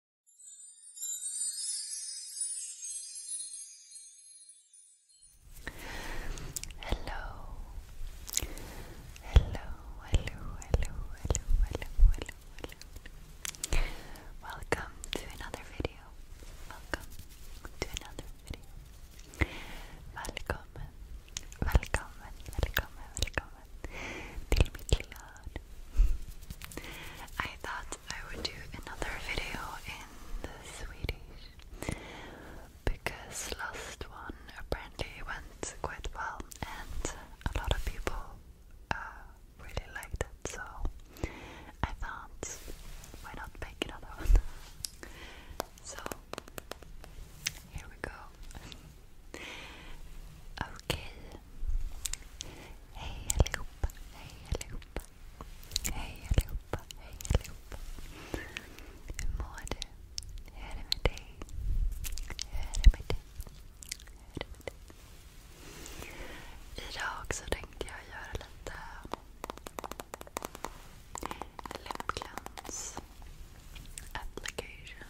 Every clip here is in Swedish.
Hello, hello, hello, hello, hello, hello, hello, Welcome to another video. Welcome to another video. Welcome, welcome, welcome, welcome, Dilmi Kliad. I thought I would do another video in the Swedish because last one apparently went quite well and a lot of people uh, really liked it so I thought why not make another one. So here we go. Okay, Hej allihopa, hej allihopa. Hej allihopa, hej allihopa. Hur mår du? Hur är det med dig? Hur är det med dig? Hur är det med dig? Idag så tänkte jag göra lite läppglans application.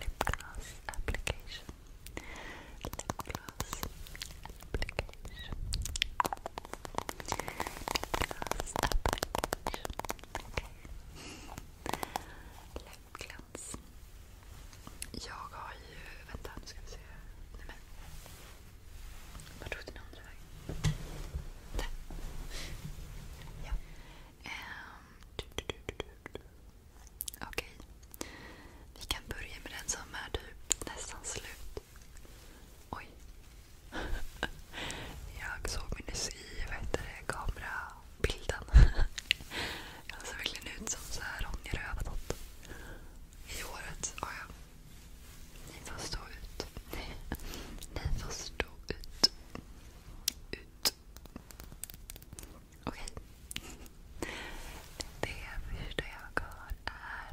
Lipgloss application lip gloss application lip gloss application okay. lip gloss jag har ju, vänta nu ska vi se, nej men vart tog den andra vägen? Där! Ja. Um, du, du, du, du, du. Okej. Vi kan börja med den som är typ nästan slut. Oj. Jag såg mig nyss i kamerabilden. Jag ser verkligen ut som så här Ronja Rövardotter. I håret. Oh ja. Ni får stå ut. Ni får stå ut. Ut. Okej. Det första jag har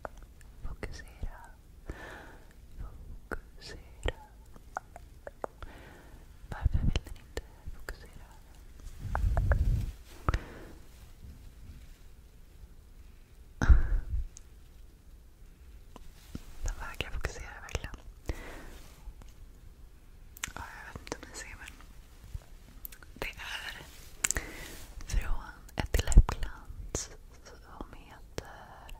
är fokusera. Fokusera. Varför vill den inte fokusera? Den vägrar fokusera verkligen. Ja, jag vet inte om ni ser men det är från ett läppglans som heter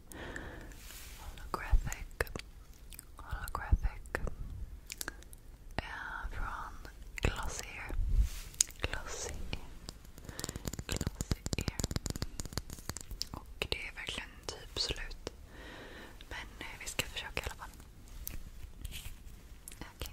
Holographic. Holographic. Uh, från Glossier. Glossier. Och det är verkligen typ slut ut. Men eh, vi ska försöka i alla fall. Okay. Okay.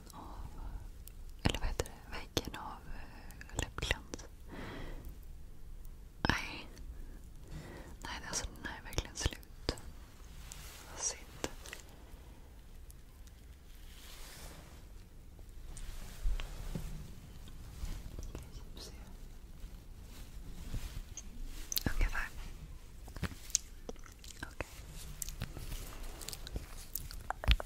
baksidan av... Eller vad heter det? Väggen av eh, läppglans. Nej. den här är alltså, verkligen slut. synd. Ungefär.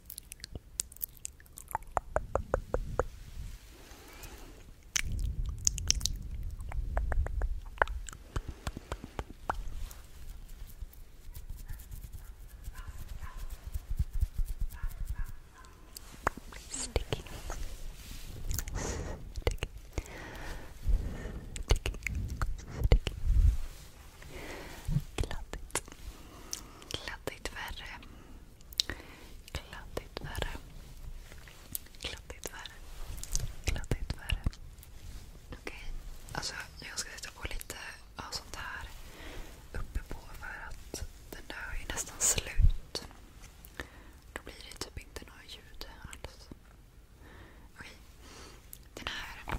Sticky. Sticky. Sticky. Sticky. Kladdigt. Kladdigt värre. Kladdigt värre. Kladdigt värre. Kladdigt värre. Okej. Alltså, jag ska sätta på lite sånt här uppe för att den där är nästan slut. Då blir det typ inte några ljud alls. Okej. Den här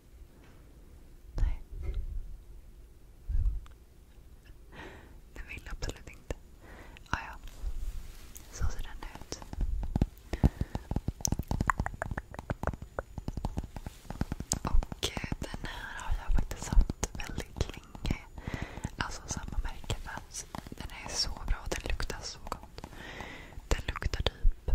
Nej. Den vill absolut inte. Ah, ja. Så ser den ut. Och eh, den här har jag faktiskt haft väldigt länge. Alltså samma märke. Den är så bra. Den luktar så gott. Den luktar typ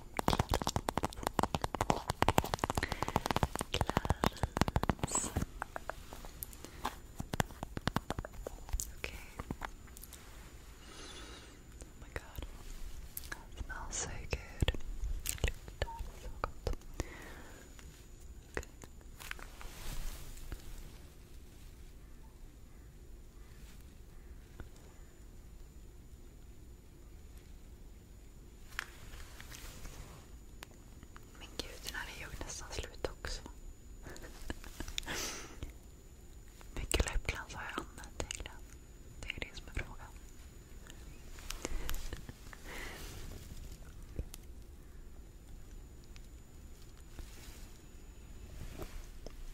gloves. Okay. Oh my god. smells so good. Look so good. Okay. Men gud, den här är ju nästan slut också. Mycket läppglans har jag använt egentligen. Det är det som är frågan.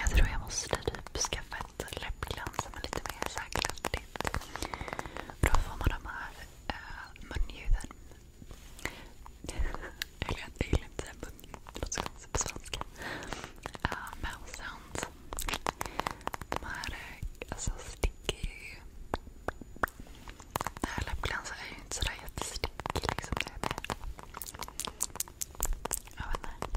Jag tror jag måste typ skaffa ett läppglans som är lite mer särglantigt. Då får man de här äh, munljuden eller jag gillar inte säga bugg. Det låter så konstigt på svenska. Uh, mouth sounds. De här alltså, sticker ju. Den här läppglansen är ju inte sådär jättestickig. Liksom. Det är det. Jag vet inte.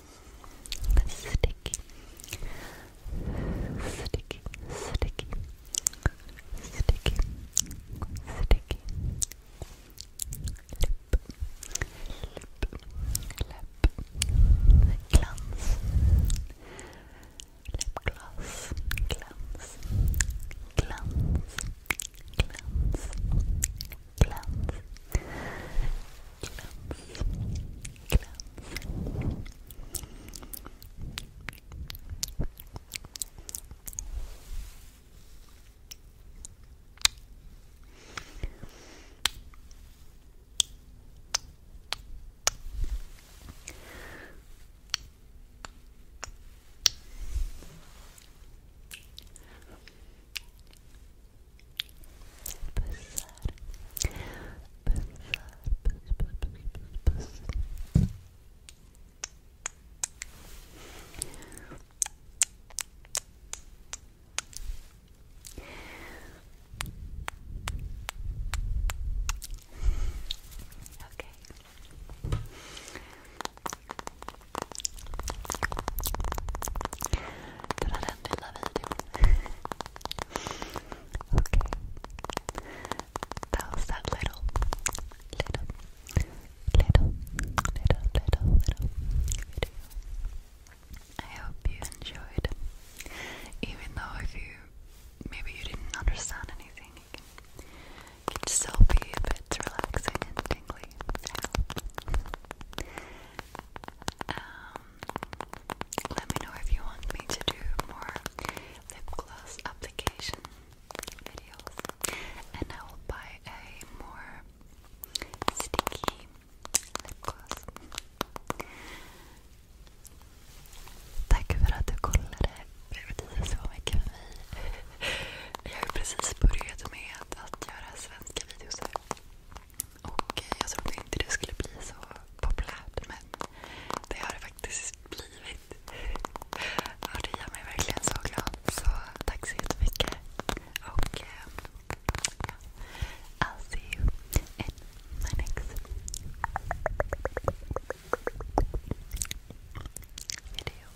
Sticky. Sticky. Läpp. Glans. Läppglas. Glans. Glans. Glans. Glans. Glans. Glans. Glans. Pussar. Pussar. Puss, puss, puss, puss, puss. Okej. Okay. Den okay. That was that little, little, little, little, little, little I hope you enjoyed. Even though if you maybe you didn't understand anything, it can still be a bit relaxing and tingly actually. Um, let me know if you want me to do more lip gloss application videos, and I will buy a more sticky lip gloss. Tack för för mig. Jag har precis börjat med att göra svenska videos här. Och eh, jag trodde inte det skulle bli så populärt men det har det faktiskt blivit. Ja, det gör mig verkligen så glad. Så tack så jättemycket. Och eh, ja, I'll see you in my next video.